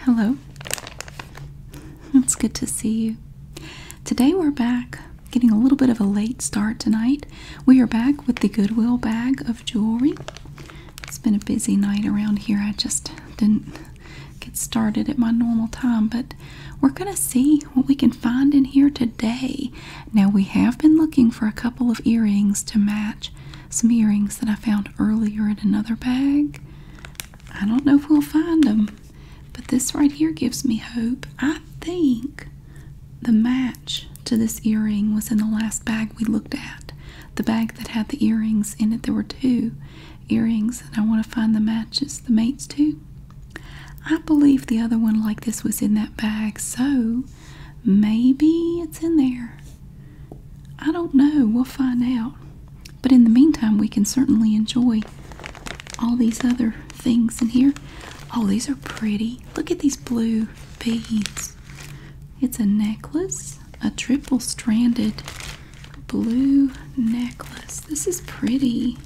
Hello. It's good to see you. Today we're back, getting a little bit of a late start tonight. We are back with the Goodwill bag of jewelry. It's been a busy night around here. I just didn't get started at my normal time, but we're going to see what we can find in here today. Now, we have been looking for a couple of earrings to match some earrings that I found earlier in another bag. I don't know if we'll find them, but this right here gives me hope. I think the match to this earring was in the last bag we looked at. The bag that had the earrings in it, there were two earrings, and I want to find the matches, the mates too. I believe the other one like this was in that bag, so Maybe it's in there. I don't know. We'll find out. But in the meantime, we can certainly enjoy all these other things in here. Oh, these are pretty. Look at these blue beads. It's a necklace, a triple stranded blue necklace. This is pretty.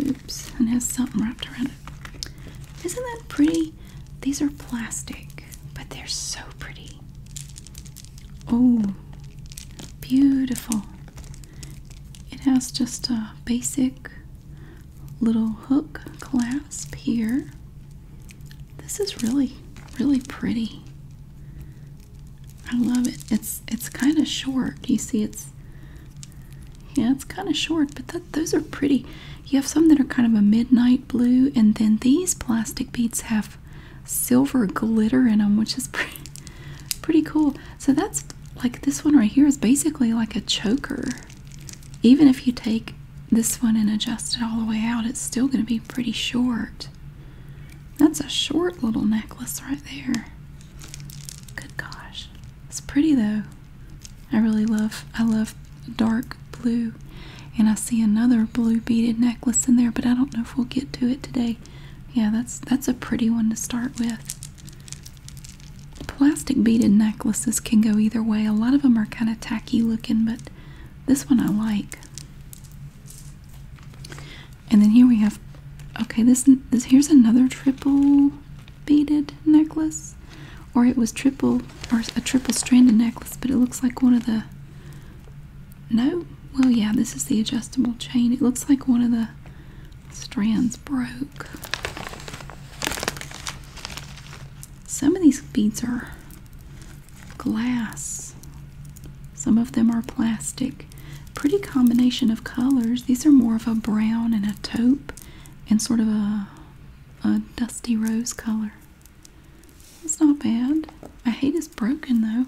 Oops, and has something wrapped around isn't that pretty? These are plastic, but they're so pretty. Oh, beautiful. It has just a basic little hook clasp here. This is really, really pretty. I love it. It's it's kind of short. You see it's yeah, it's kind of short, but those are pretty. You have some that are kind of a midnight blue, and then these plastic beads have silver glitter in them, which is pretty, pretty cool. So that's like this one right here is basically like a choker. Even if you take this one and adjust it all the way out, it's still going to be pretty short. That's a short little necklace right there. Good gosh. It's pretty though. I really love I love dark blue. And I see another blue beaded necklace in there, but I don't know if we'll get to it today. Yeah, that's that's a pretty one to start with. Plastic beaded necklaces can go either way. A lot of them are kind of tacky looking, but this one I like. And then here we have okay, this, this here's another triple beaded necklace or it was triple or a triple stranded necklace but it looks like one of the no well yeah this is the adjustable chain it looks like one of the strands broke some of these beads are glass some of them are plastic pretty combination of colors these are more of a brown and a taupe and sort of a a dusty rose color. It's not bad. I hate it's broken though.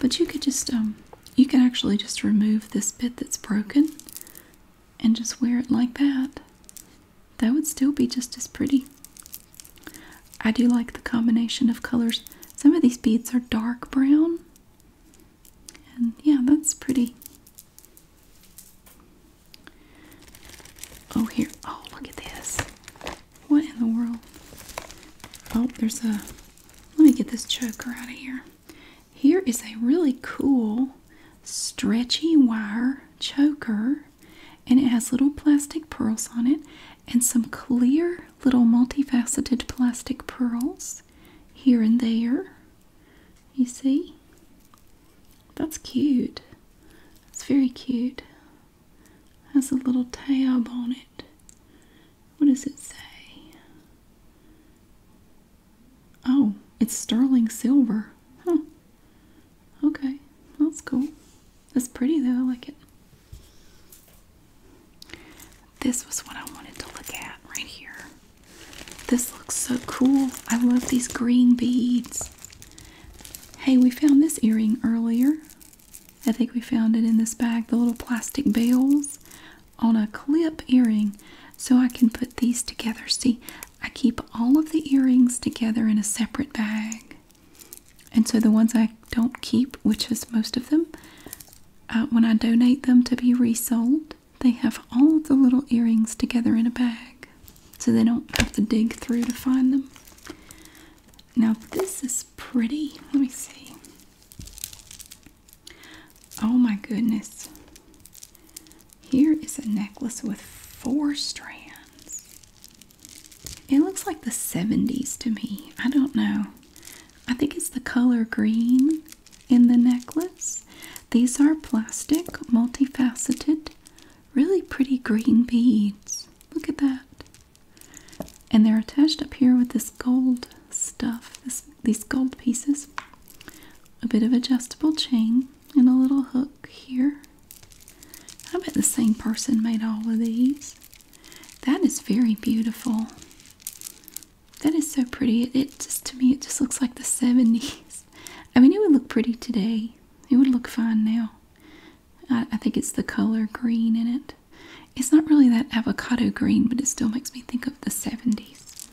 But you could just um you can actually just remove this bit that's broken and just wear it like that. That would still be just as pretty. I do like the combination of colors. Some of these beads are dark brown. And yeah, that's pretty. Oh, here. Oh, look at this. What in the world? Oh, there's a. Let me get this choker out of here. Here is a really cool stretchy wire choker, and it has little plastic pearls on it and some clear little multifaceted plastic pearls here and there. You see? That's cute. It's very cute. Has a little tab on it. What does it say? Oh, it's sterling silver. Huh. Okay, that's cool. That's pretty though, I like it. This was what I wanted to look at right here. This looks so cool. I love these green beads. Hey, we found this earring earlier. I think we found it in this bag, the little plastic bells on a clip earring. So I can put these together. See, I keep all of the earrings together in a separate bag. And so the ones I don't keep, which is most of them, uh, when I donate them to be resold, they have all the little earrings together in a bag so they don't have to dig through to find them. Now, this is pretty. Let me see. Oh my goodness. Here is a necklace with four strands. It looks like the 70s to me. I don't know. I think it's the color green in the necklace. These are plastic, multifaceted, really pretty green beads. Look at that. And they're attached up here with this gold stuff, these gold pieces. A bit of adjustable chain and a little hook here. I bet the same person made all of these. That is very beautiful. That is so pretty. it just to me it just looks like the 70s. I mean, it would look pretty today. It would look fine now. I, I think it's the color green in it. It's not really that avocado green, but it still makes me think of the 70s.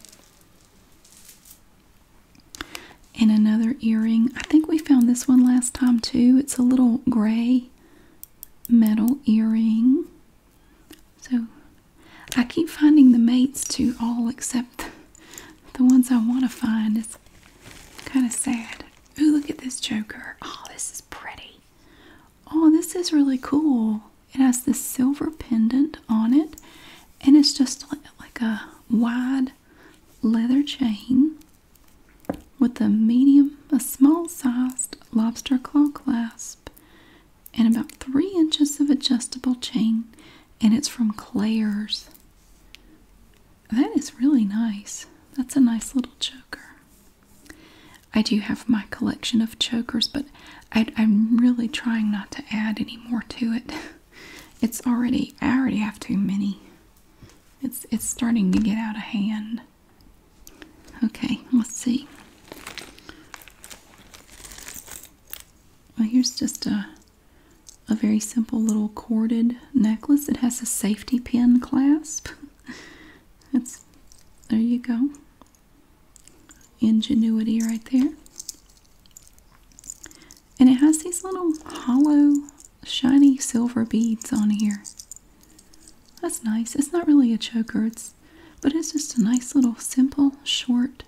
And another earring. I think we found this one last time too. It's a little gray metal earring. So I keep finding the mates to all except the ones I want to find. It's kind of sad. Ooh, look at this joker. Oh, this is pretty. Oh, this is really cool. It has this silver pendant on it, and it's just like a wide leather chain with a medium, a small sized lobster claw clasp, and about three inches of adjustable chain and it's from Claire's. That is really nice. That's a nice little choker. I do have my collection of chokers, but I, I'm really trying not to add any more to it. It's already I already have too many. It's it's starting to get out of hand. Okay, let's see. Well, here's just a a very simple little corded necklace. It has a safety pin clasp. It's there you go. Ingenuity right there. And it has these little hollow, shiny silver beads on here. That's nice. It's not really a choker, it's, but it's just a nice little simple, short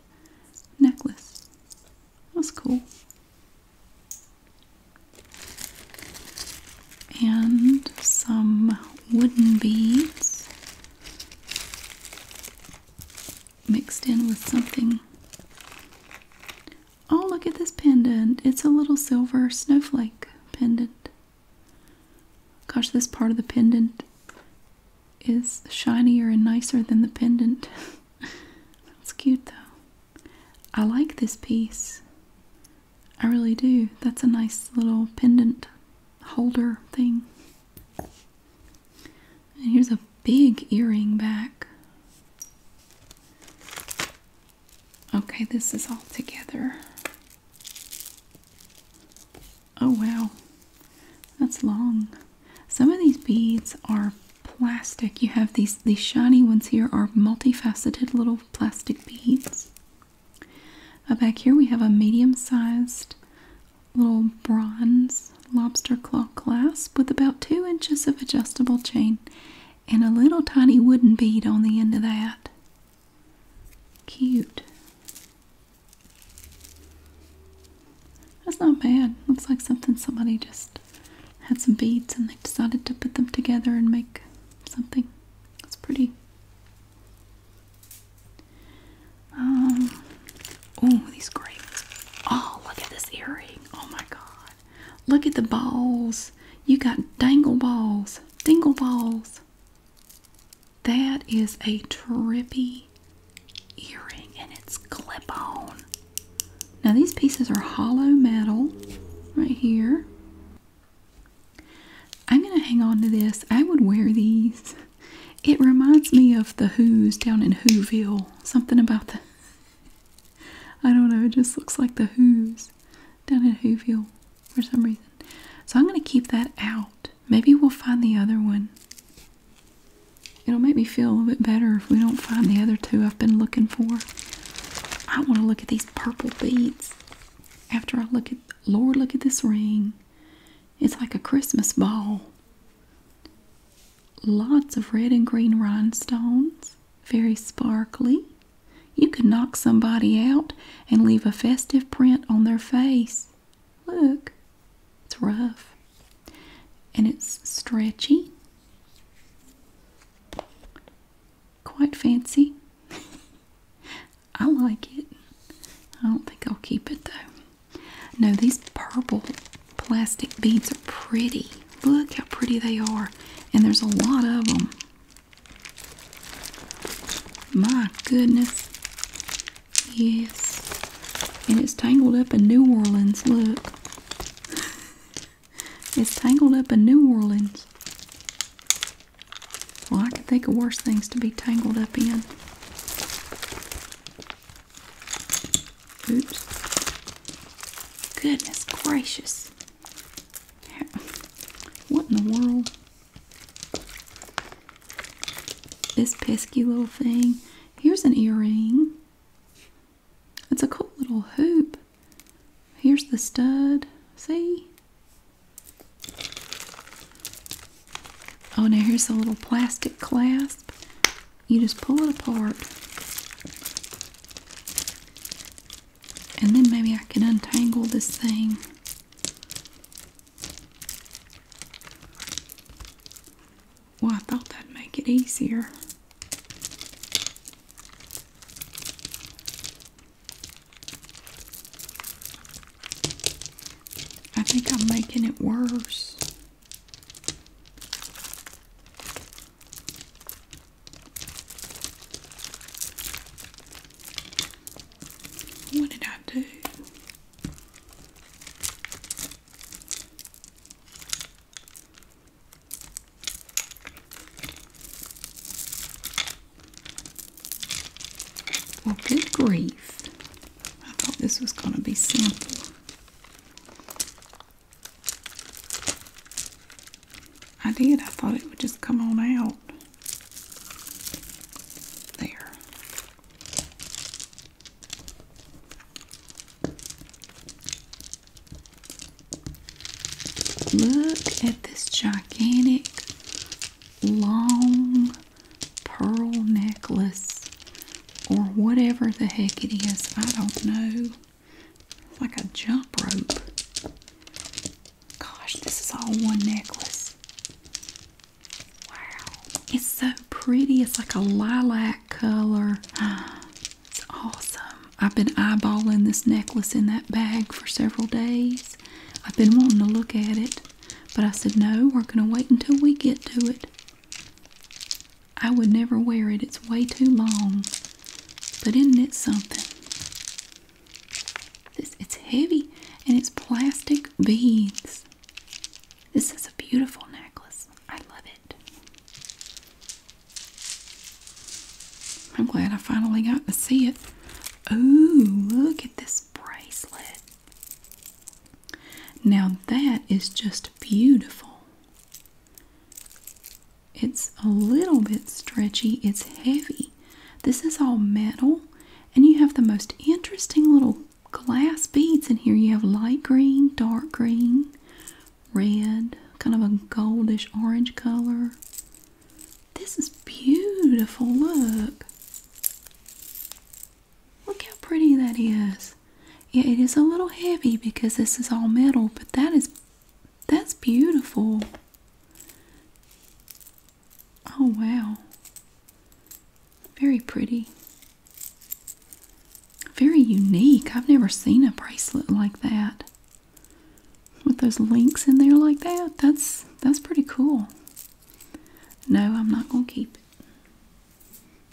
necklace. That's cool. And some wooden beads mixed in with something. Oh, look at this pendant. It's a little silver snowflake pendant. Gosh, this part of the pendant is shinier and nicer than the pendant. That's cute though. I like this piece. I really do. That's a nice little pendant holder thing. And here's a big earring back. Okay, this is all together. Oh wow, that's long. Some of these beads are plastic. You have these, these shiny ones here are multifaceted little plastic beads. Uh, back here we have a medium-sized little bronze lobster claw clasp with about two inches of adjustable chain and a little tiny wooden bead on the end of that. Cute. That's not bad. Looks like something somebody just had some beads and they decided to put them together and make something. That's pretty. Um, oh, these grapes. Oh, look at this earring. Oh my god. Look at the balls. You got dangle balls, dingle balls. That is a trippy earring and it's clip-on. Now these pieces are hollow metal right here. I'm going to hang on to this. I would wear these. It reminds me of the Who's down in Whoville. Something about the... I don't know, it just looks like the Who's down in Whoville for some reason. So I'm going to keep that out. Maybe we'll find the other one. It'll make me feel a little bit better if we don't find the other two I've been looking for. I want to look at these purple beads. After I look at, Lord, look at this ring. It's like a Christmas ball. Lots of red and green rhinestones, very sparkly. You could knock somebody out and leave a festive print on their face. Look, it's rough and it's stretchy. Quite fancy. I like it. I don't think I'll keep it though. No, these purple plastic beads are pretty. Look how pretty they are. And there's a lot of them. My goodness. Yes. And it's tangled up in New Orleans. Look. it's tangled up in New Orleans. Well, I can think of worse things to be tangled up in. Oops. Goodness gracious. What in the world? This pesky little thing. Here's an earring. It's a cool little hoop. Here's the stud. See? Oh, now here's the little plastic clasp. You just pull it apart. And then maybe I can untangle this thing. Well, I thought that'd make it easier. I think I'm making it worse. What did I do? Well, good grief. I thought this was going to be simple. I did. I thought it would just come on out. There. Look at this gigantic long pearl necklace or whatever the heck it is. I don't know. It's like a jump rope. Gosh, this is all one necklace. Wow. It's so pretty. It's like a lilac color. It's awesome. I've been eyeballing this necklace in that bag for several days. I've been wanting to look at it, but I said, no, we're going to wait until we get to it. I would never wear it. It's way too long. But isn't it something? It's heavy and it's plastic beads. This is a beautiful necklace. I love it. I'm glad I finally got to see it. Ooh, look at this bracelet. Now that is just beautiful. It's a little bit stretchy, it's heavy. This is all metal, and you have the most interesting little glass beads in here. You have light green, dark green, red, kind of a goldish orange color. This is beautiful. Look. Look how pretty that is. Yeah, it is a little heavy because this is all metal, but that is that's beautiful. Oh wow. Very pretty. Very unique. I've never seen a bracelet like that. With those links in there like that. That's that's pretty cool. No, I'm not gonna keep it.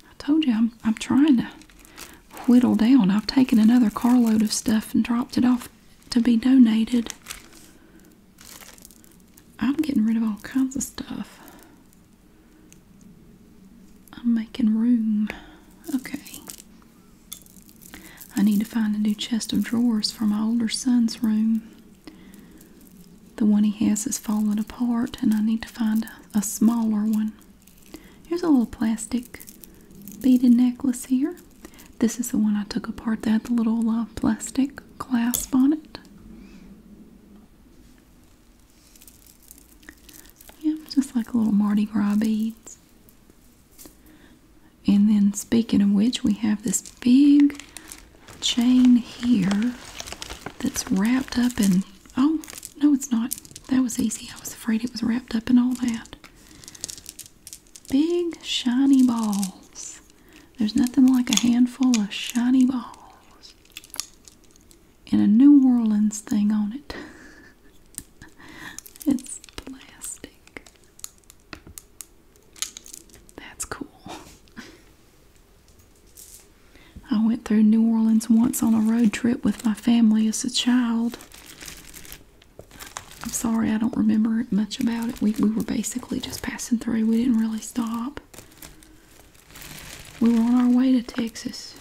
I told you I'm I'm trying to whittle down. I've taken another carload of stuff and dropped it off to be donated. I'm getting rid of all kinds of stuff. I'm making room. Okay. I need to find a new chest of drawers for my older son's room. The one he has is falling apart, and I need to find a, smaller one. Here's a little plastic beaded necklace here. This is the one I took apart that had the little uh, plastic clasp on it. Yeah, just like little Mardi Gras beads. And then speaking of which, we have this big chain here that's wrapped up in, oh, no it's not. That was easy. I was afraid it was wrapped up in all that. Big shiny balls. There's nothing like a handful of shiny balls and a New Orleans thing on it. it's plastic. That's cool. I went through New Orleans once on a road trip with my family as a child. I'm sorry, I don't remember much about it. We, we were basically just passing through, we didn't really stop. We were on our way to Texas.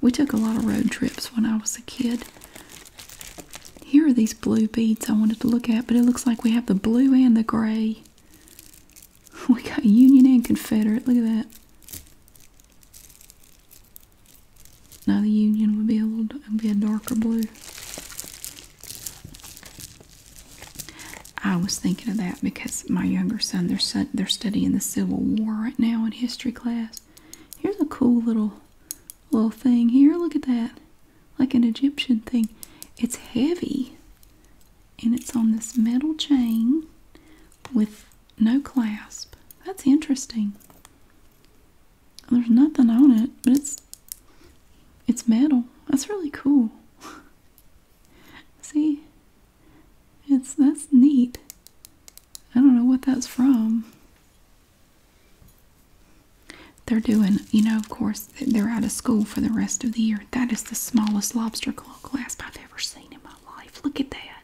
We took a lot of road trips when I was a kid. Here are these blue beads I wanted to look at, but it looks like we have the blue and the gray. We got Union and Confederate. Look at that. Now the Union would be a little, would darker blue. I was thinking of that because my younger son, they're, studying the Civil War right now in history class. Here's a cool little little thing here. Look at that. Like an Egyptian thing. It's heavy. And it's on this metal chain with no clasp. That's interesting. There's nothing on it, but it's it's metal. That's really cool. See? It's that's neat. I don't know what that's from. They're doing, you know, of course, they're out of school for the rest of the year. That is the smallest lobster claw clasp I've ever seen in my life. Look at that.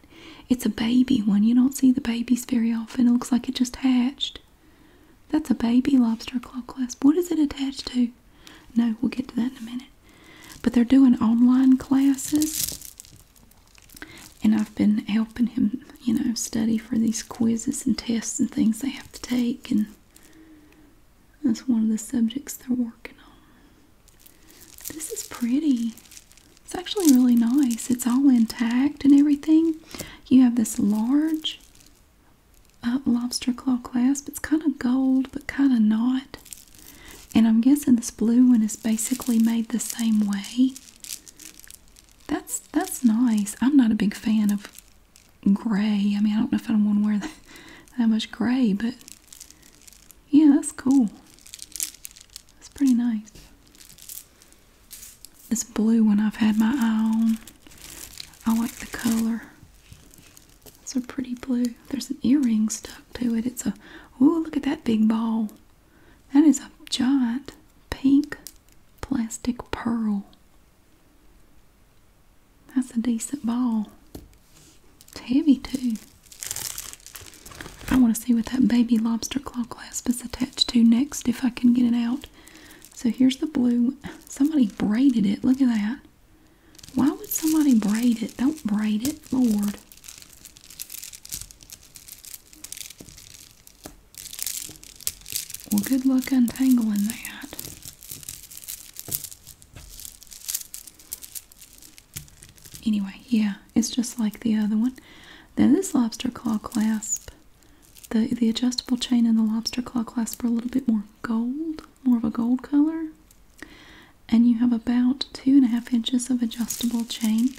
It's a baby one. You don't see the babies very often. It looks like it just hatched. That's a baby lobster claw clasp. What is it attached to? No, we'll get to that in a minute. But they're doing online classes, and I've been helping him, you know, study for these quizzes and tests and things they have to take, and that's one of the subjects they're working on. This is pretty. It's actually really nice. It's all intact and everything. You have this large uh, lobster claw clasp. It's kind of gold, but kind of not. And I'm guessing this blue one is basically made the same way. That's that's nice. I'm not a big fan of gray. I mean, I don't know if I want to wear that, that much gray, but yeah, that's cool. That's pretty nice. This blue one I've had my eye on. I like the color. It's a pretty blue. There's an earring stuck to it. It's a, oh, look at that big ball. That is a giant pink plastic pearl. That's a decent ball. It's heavy too. I want to see what that baby lobster claw clasp is attached to next if I can get it out. So here's the blue. Somebody braided it. Look at that. Why would somebody braid it? Don't braid it, Lord. Well, good luck untangling that. Anyway, yeah, it's just like the other one. Then this lobster claw clasp, the, the adjustable chain and the lobster claw clasp are a little bit more gold, more of a gold color and you have about two and a half inches of adjustable chain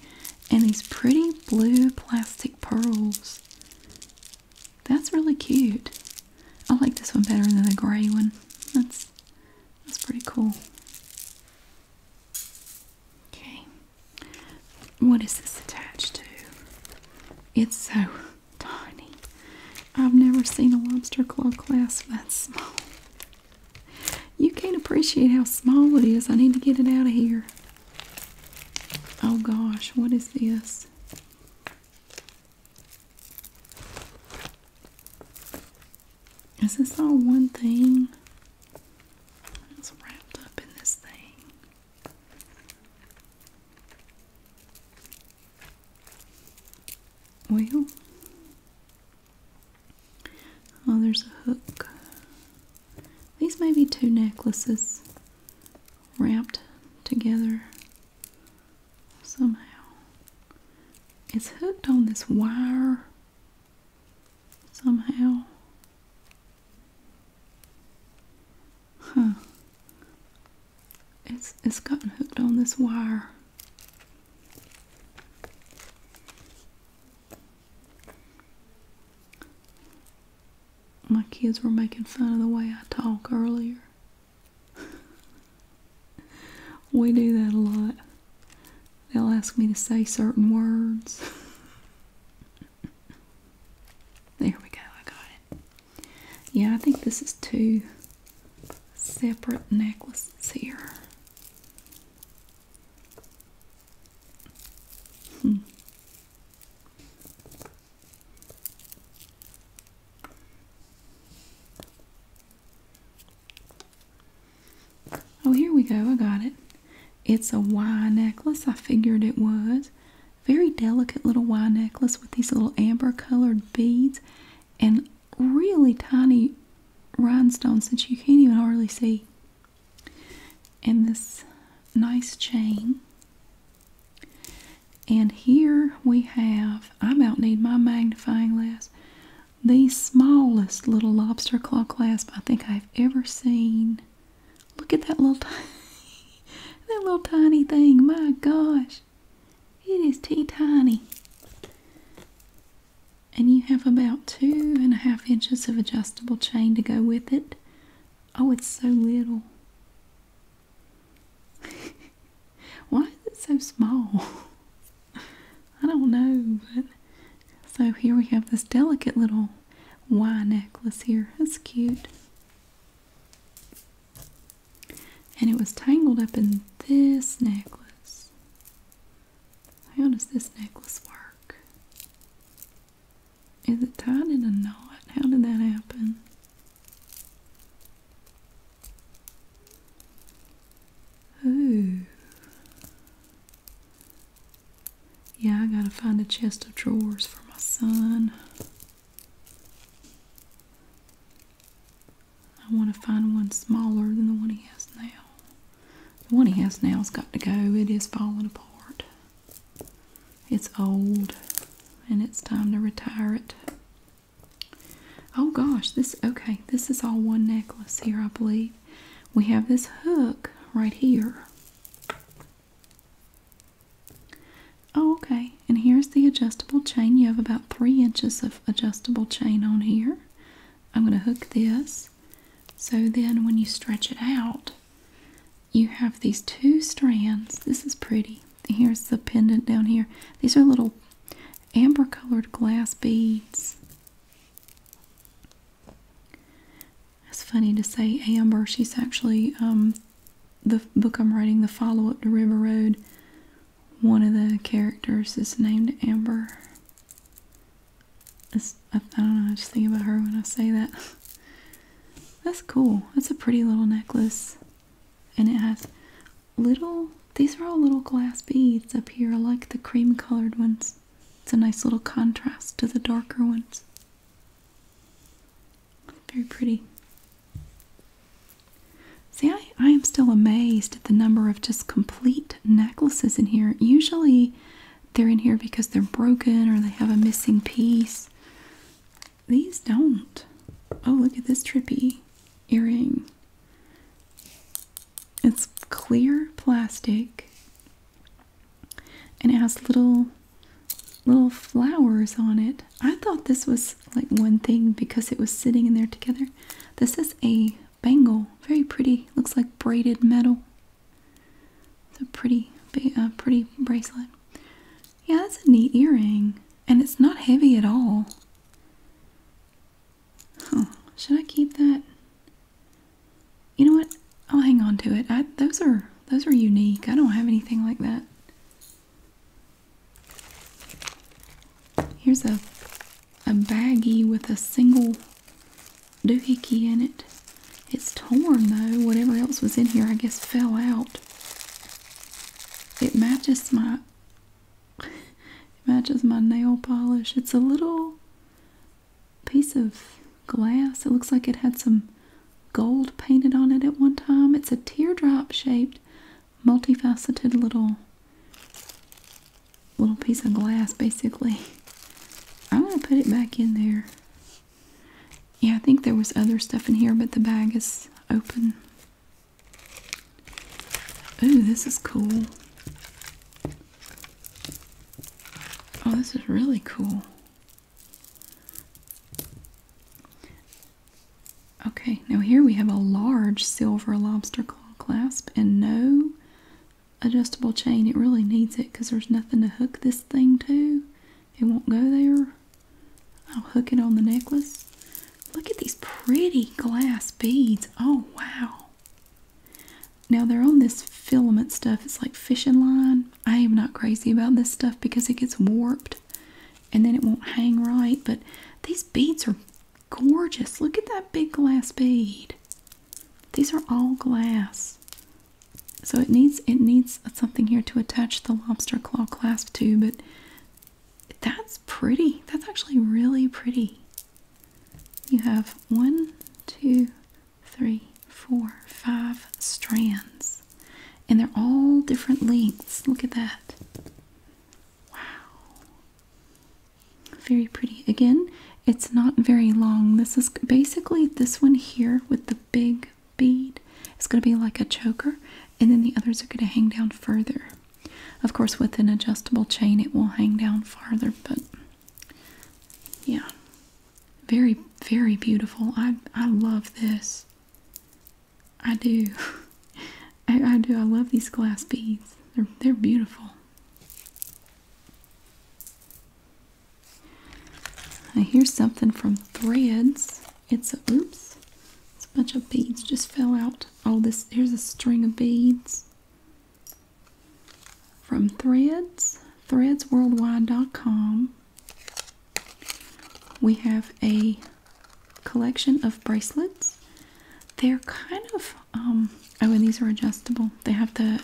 and these pretty blue plastic pearls. That's really cute. I like this one better than the gray one. That's that's pretty cool. Okay. What is this attached to? It's so uh, tiny. I've never seen a lobster claw class that small. You can't appreciate how small it is. I need to get it out of here. Oh gosh, what is this? Is this all one thing? It's wrapped up in this thing oil. Oh, there's a hook. These may be two necklaces wrapped together somehow. It's hooked on this wire somehow. Huh it's it's gotten hooked on this wire. My kids were making fun of the way I talk earlier. we do that a lot. They'll ask me to say certain words. there we go, I got it. Yeah, I think this is two separate necklaces here. Hmm. Oh, here we go. I got it. It's a Y necklace. I figured it was. Very delicate little Y necklace with these little amber colored beads and really tiny rhinestones that you can't even hardly see. in this nice chain. And here we have, I might need my magnifying glass, the smallest little lobster claw clasp I think I've ever seen. Look at that little, that little tiny thing. My gosh. It is tea tiny. And you have about two and a half inches of adjustable chain to go with it. Oh, it's so little. Why is it so small? I don't know, but so here we have this delicate little Y necklace here. It's cute. And it was tangled up in this necklace. How does this necklace work? Is it tied in a knot? How did that happen? Ooh. Yeah, I gotta find a chest of drawers for my son. I want to find one smaller than the one he has now. The one he has now's got to go. It is falling apart. It's old and it's time to retire it. Oh gosh, this okay, this is all one necklace here, I believe. We have this hook right here. Oh, okay. And here's the adjustable chain. You have about three inches of adjustable chain on here. I'm going to hook this. So then when you stretch it out, you have these two strands. This is pretty. Here's the pendant down here. These are little amber colored glass beads. It's funny to say amber. She's actually um, the book I'm writing, the follow up to River Road one of the characters is named Amber. I don't know, I just think about her when I say that. That's cool. That's a pretty little necklace. And it has little, these are all little glass beads up here. I like the cream colored ones. It's a nice little contrast to the darker ones. Very pretty. See, I, I am still amazed at the number of just complete necklaces in here. Usually they're in here because they're broken or they have a missing piece. These don't. Oh, look at this trippy earring. It's clear plastic and it has little little flowers on it. I thought this was like one thing because it was sitting in there together. This is a bangle, very pretty. Looks like braided metal. It's a pretty, uh, pretty bracelet. Yeah, that's a neat earring, and it's not heavy at all. Should I keep that? You know what? I'll hang on to it. those are those are unique. I don't have anything like that. Here's a a baggie with a single doohickey in it. It's torn though. Whatever else was in here, I guess, fell out. It matches my it matches my nail polish. It's a little piece of glass. It looks like it had some gold painted on it at one time. It's a teardrop shaped multifaceted little little piece of glass basically. I'm gonna put it back in there. Yeah, I think there was other stuff in here, but the bag is open. Ooh, this is cool. Oh, this is really cool. Okay, now here we have a large silver lobster claw clasp and no adjustable chain. It really needs it because there's nothing to hook this thing to. It won't go there. I'll hook it on the necklace. Look at these pretty glass beads. Oh, wow. Now they're on this filament stuff. It's like fishing line. I am not crazy about this stuff because it gets warped and then it won't hang right. But these beads are gorgeous. Look at that big glass bead. These are all glass. So it needs it needs something here to attach the lobster claw clasp to, but that's pretty. That's actually really pretty. You have one, two, three, four, five strands. And they're all different lengths. Look at that. Wow. Very pretty. Again, it's not very long. This is basically this one here with the big bead. It's going to be like a choker, and then the others are going to hang down further. Of course, with an adjustable chain, it will hang down farther, but yeah. Very, very beautiful. I, I love this. I do. I, do. I love these glass beads. They're they're beautiful. I here's something from Threads. It's a oops. It's a bunch of beads just fell out. Oh, this here's a string of beads from Threads. Threadsworldwide.com. We have a collection of bracelets. They're kind of, um, oh, and these are adjustable. They have the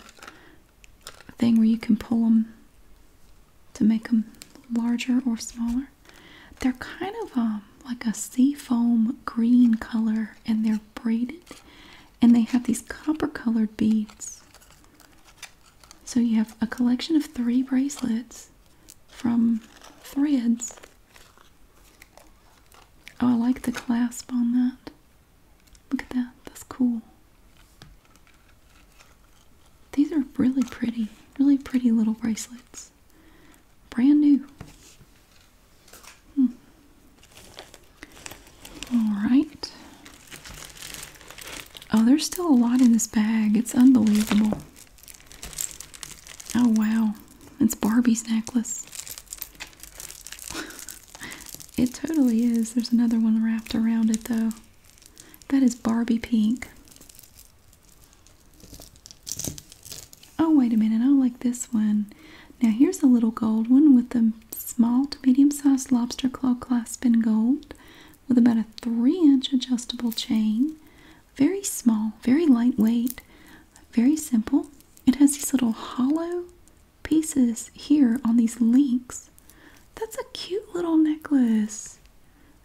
thing where you can pull them to make them larger or smaller. They're kind of um, like a seafoam green color and they're braided and they have these copper colored beads. So you have a collection of three bracelets from Threads. Oh, I like the clasp on that. Look at that. That's cool. These are really pretty, really pretty little bracelets. Brand new. Hmm. Alright. Oh, there's still a lot in this bag. It's unbelievable. Oh wow, it's Barbie's necklace. it totally is. There's another one wrapped around it though. That is Barbie pink. Oh, wait a minute. I like this one. Now, here's a little gold one with a small to medium sized lobster claw clasp in gold with about a 3 inch adjustable chain very small, very lightweight, very simple. It has these little hollow pieces here on these links. That's a cute little necklace.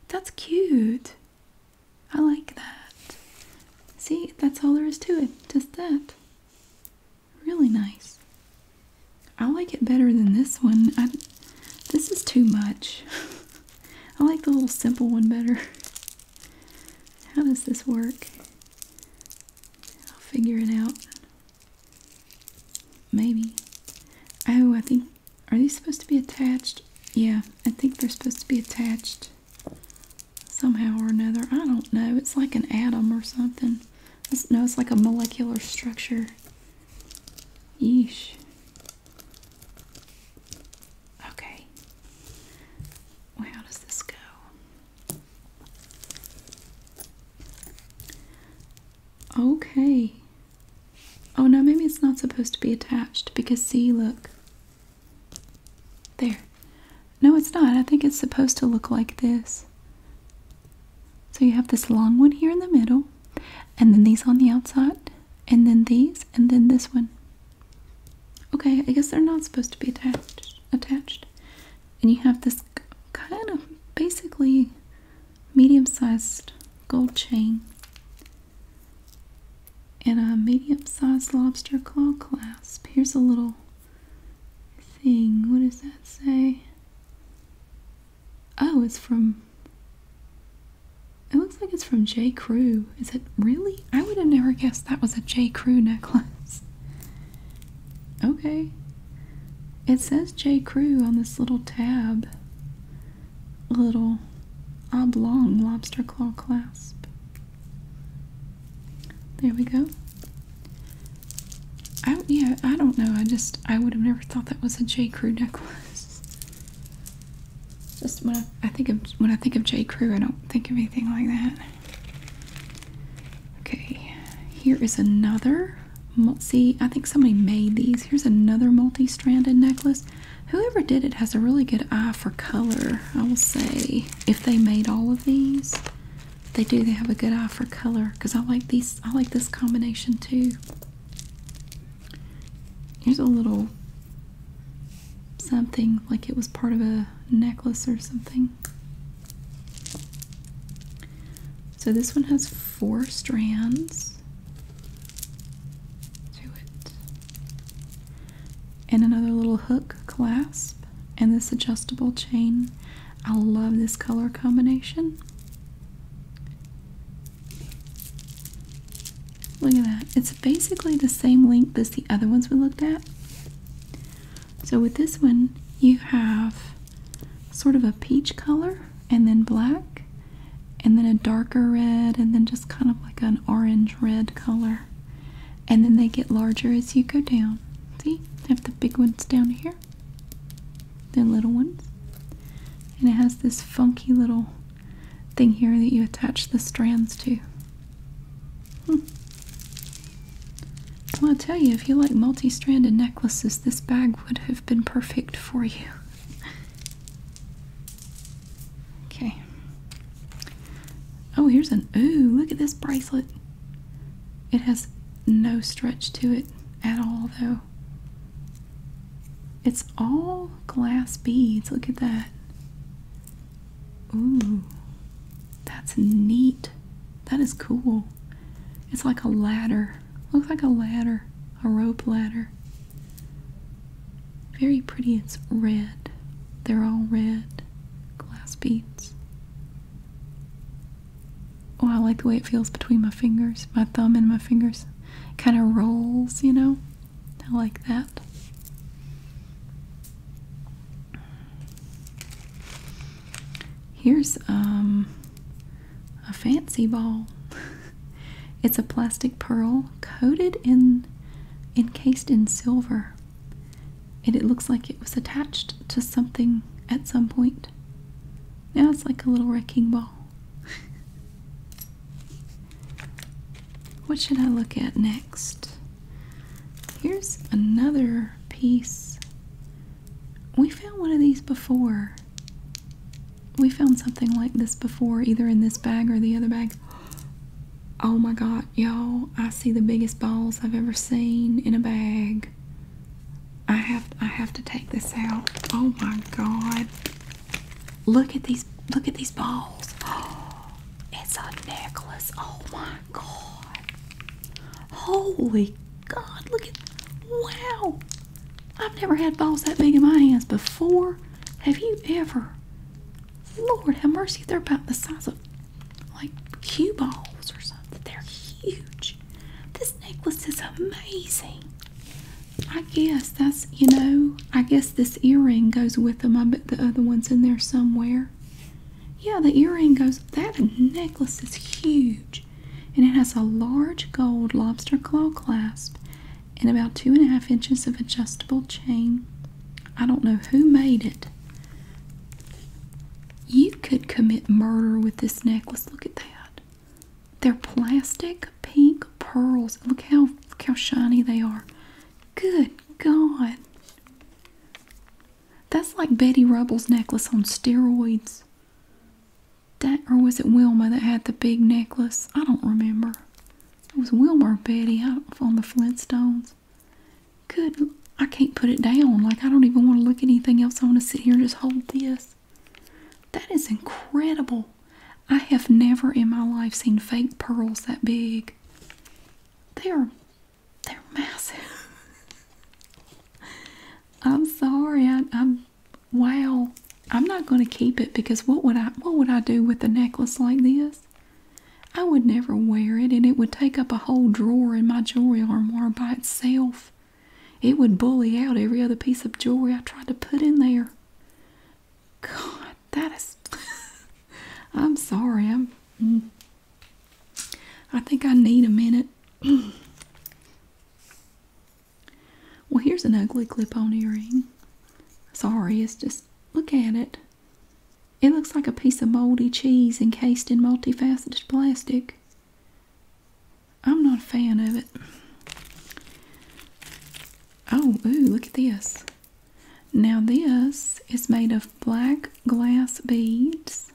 That's cute. I like that. See, that's all there is to it. Just that. Really nice. I like it better than this one. this is too much. I like the little simple one better. How does this work? I'll figure it out. Maybe. Oh, I think. Are these supposed to be attached? Yeah, I think they're supposed to be attached somehow or another. I don't know. It's like an atom or something. no, it's like a molecular structure. Yeesh. Okay. how does this go? Okay. Oh no, maybe it's not supposed to be attached because see, look. There. No, it's not. I think it's supposed to look like this. So you have this long one here in the middle and then these on the outside, and then these, and then this one. Okay, I guess they're not supposed to be attached. Attached, and you have this kind of basically medium-sized gold chain and a medium-sized lobster claw clasp. Here's a little thing. What does that say? Oh, it's from it looks like it's from J. Crew. Is it really? I would have never guessed that was a J. Crew necklace. Okay. It says J. Crew on this little tab. Little oblong lobster claw clasp. There we go. I yeah, I don't know. I just I would have never thought that was a J. Crew necklace. Just when I, think of when I think of J. Crew, I don't think of anything like that. Okay, here is another. See, I think somebody made these. Here's another multi-stranded necklace. Whoever did it has a really good eye for color. I will say, if they made all of these, they do. They have a good eye for color because I like these. I like this combination too. Here's a little something like it was part of a necklace or something. So this one has four strands to it, and another little hook clasp, and this adjustable chain. I love this color combination. Look at that. It's basically the same length as the other ones we looked at. So with this one, you have sort of a peach color and then black and then a darker red and then just kind of like an orange red color. And then they get larger as you go down. See? I have the big ones down here, then little ones. And it has this funky little thing here that you attach the strands to. Hmm. Well, I tell you, if you like multi-stranded necklaces, this bag would have been perfect for you. Okay. Oh, here's an ooh! Look at this bracelet. It has no stretch to it at all, though. It's all glass beads. Look at that. Ooh, that's neat. That is cool. It's like a ladder. Looks like a ladder, a rope ladder. Very pretty. It's red. They're all red glass beads. Oh, I like the way it feels between my fingers, my thumb and my fingers. Kind of rolls, you know? I like that. Here's um, a fancy ball. it's a plastic pearl coated in encased in silver. And it looks like it was attached to something at some point. Now it's like a little wrecking ball. what should I look at next? Here's another piece. We found one of these before. We found something like this before, either in this bag or the other bags. Oh my god, y'all, I see the biggest balls I've ever seen in a bag. I have I have to take this out. Oh my god. Look at these look at these balls. it's a necklace. Oh my god. Holy god, look at wow. I've never had balls that big in my hands before. Have you ever? Lord have mercy, they're about the size of like cue balls or something. They're huge. This necklace is amazing. I guess that's, you know, I guess this earring goes with them. I bet the other one's in there somewhere. Yeah, the earring goes, that necklace is huge. And it has a large gold lobster claw clasp and about two and a half inches of adjustable chain. I don't know who made it. You could commit murder with this necklace. Look at that. They're plastic pink pearls. Look how how shiny they are. Good God. That's like Betty Rubble's necklace on steroids. That or was it Wilma that had the big necklace? I don't remember. It was Wilma or Betty on the Flintstones. Good. I can't put it down. Like I don't even want to look at anything else. I want to sit here and just hold this. That is incredible. I have never in my life seen fake pearls that big. They're they're massive. I'm sorry. I, am wow. I'm not going to keep it because what would I what would I do with a necklace like this? I would never wear it and it would take up a whole drawer in my jewelry armoire by itself. It would bully out every other piece of jewelry I tried to put in there. God, that is. I'm sorry. I'm. Mm. I think I need a minute. well, here's an ugly clip-on earring. Sorry, it's just look at it. It looks like a piece of moldy cheese encased in multifaceted plastic. I'm not a fan of it. Oh, ooh, look at this. Now this is made of black glass beads.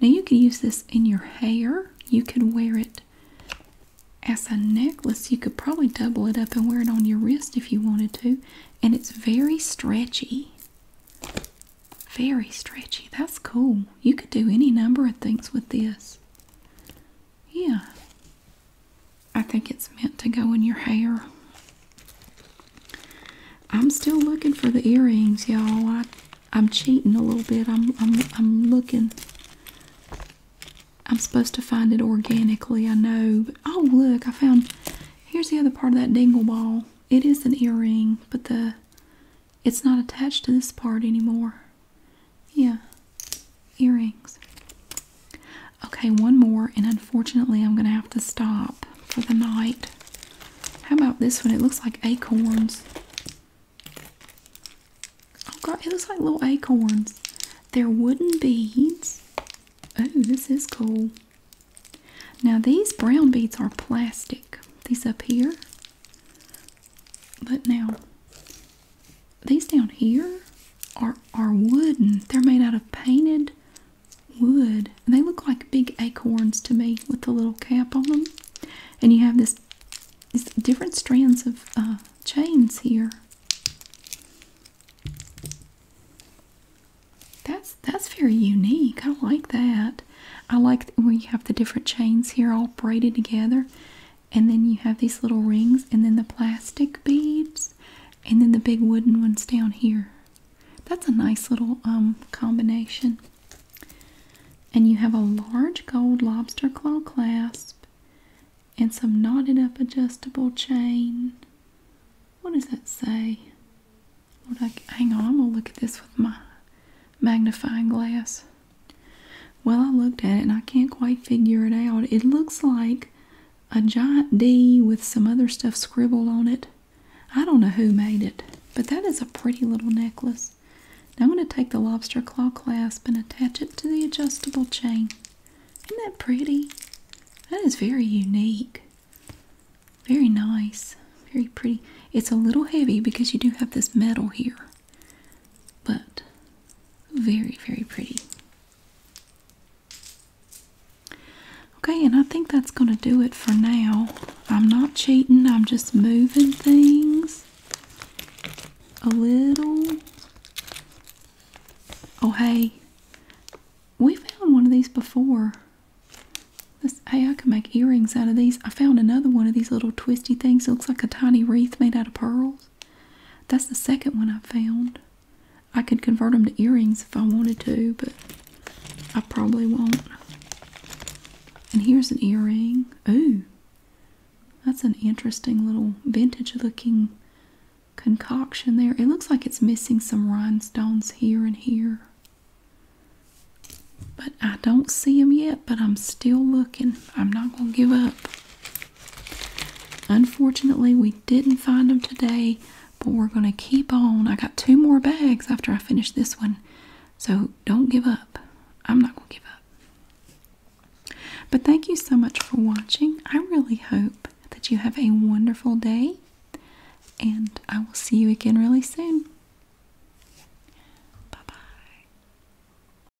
Now you can use this in your hair. You could wear it as a necklace. You could probably double it up and wear it on your wrist if you wanted to. And it's very stretchy. Very stretchy. That's cool. You could do any number of things with this. Yeah. I think it's meant to go in your hair. I'm still looking for the earrings, y'all. I I'm cheating a little bit. I'm I'm I'm looking. I'm supposed to find it organically, I know. But, oh look, I found here's the other part of that dingle ball. It is an earring, but the it's not attached to this part anymore. Yeah. Earrings. Okay, one more, and unfortunately, I'm gonna have to stop for the night. How about this one? It looks like acorns. Oh god, it looks like little acorns. They're wooden beads. Oh, this is cool. Now, these brown beads are plastic. These up here. But now, these down here are are wooden. They're made out of painted wood. they look like big acorns to me with the little cap on them. And you have this, this different strands of uh, chains here. That's that's very unique. I like that. I like where you have the different chains here all braided together and then you have these little rings and then the plastic beads and then the big wooden ones down here that's a nice little um, combination and you have a large gold lobster claw clasp and some knotted up adjustable chain what does that say Lord, I, hang on i'm gonna look at this with my magnifying glass well, I looked at it and I can't quite figure it out. It looks like a giant D with some other stuff scribbled on it. I don't know who made it, but that is a pretty little necklace. I'm going to take the lobster claw clasp and attach it to the adjustable chain. Isn't that pretty? That is very unique. Very nice. Very pretty. It's a little heavy because you do have this metal here but very, very pretty. Okay, and I think that's going to do it for now. I'm not cheating, I'm just moving things a little. Oh, hey, we found one of these before. hey, I can make earrings out of these. I found another one of these little twisty things. It looks like a tiny wreath made out of pearls. That's the second one I found. I could convert them to earrings if I wanted to, but I probably won't. And here's an earring. Ooh, that's an interesting little vintage looking concoction there. It looks like it's missing some rhinestones here and here. But I don't see them yet, but I'm still looking. I'm not going to give up. Unfortunately, we didn't find them today, but we're going to keep on. I got two more bags after I finish this one, so don't give up. I'm not going to give up. But thank you so much for watching. I really hope that you have a wonderful day, and I will see you again really soon. Bye bye.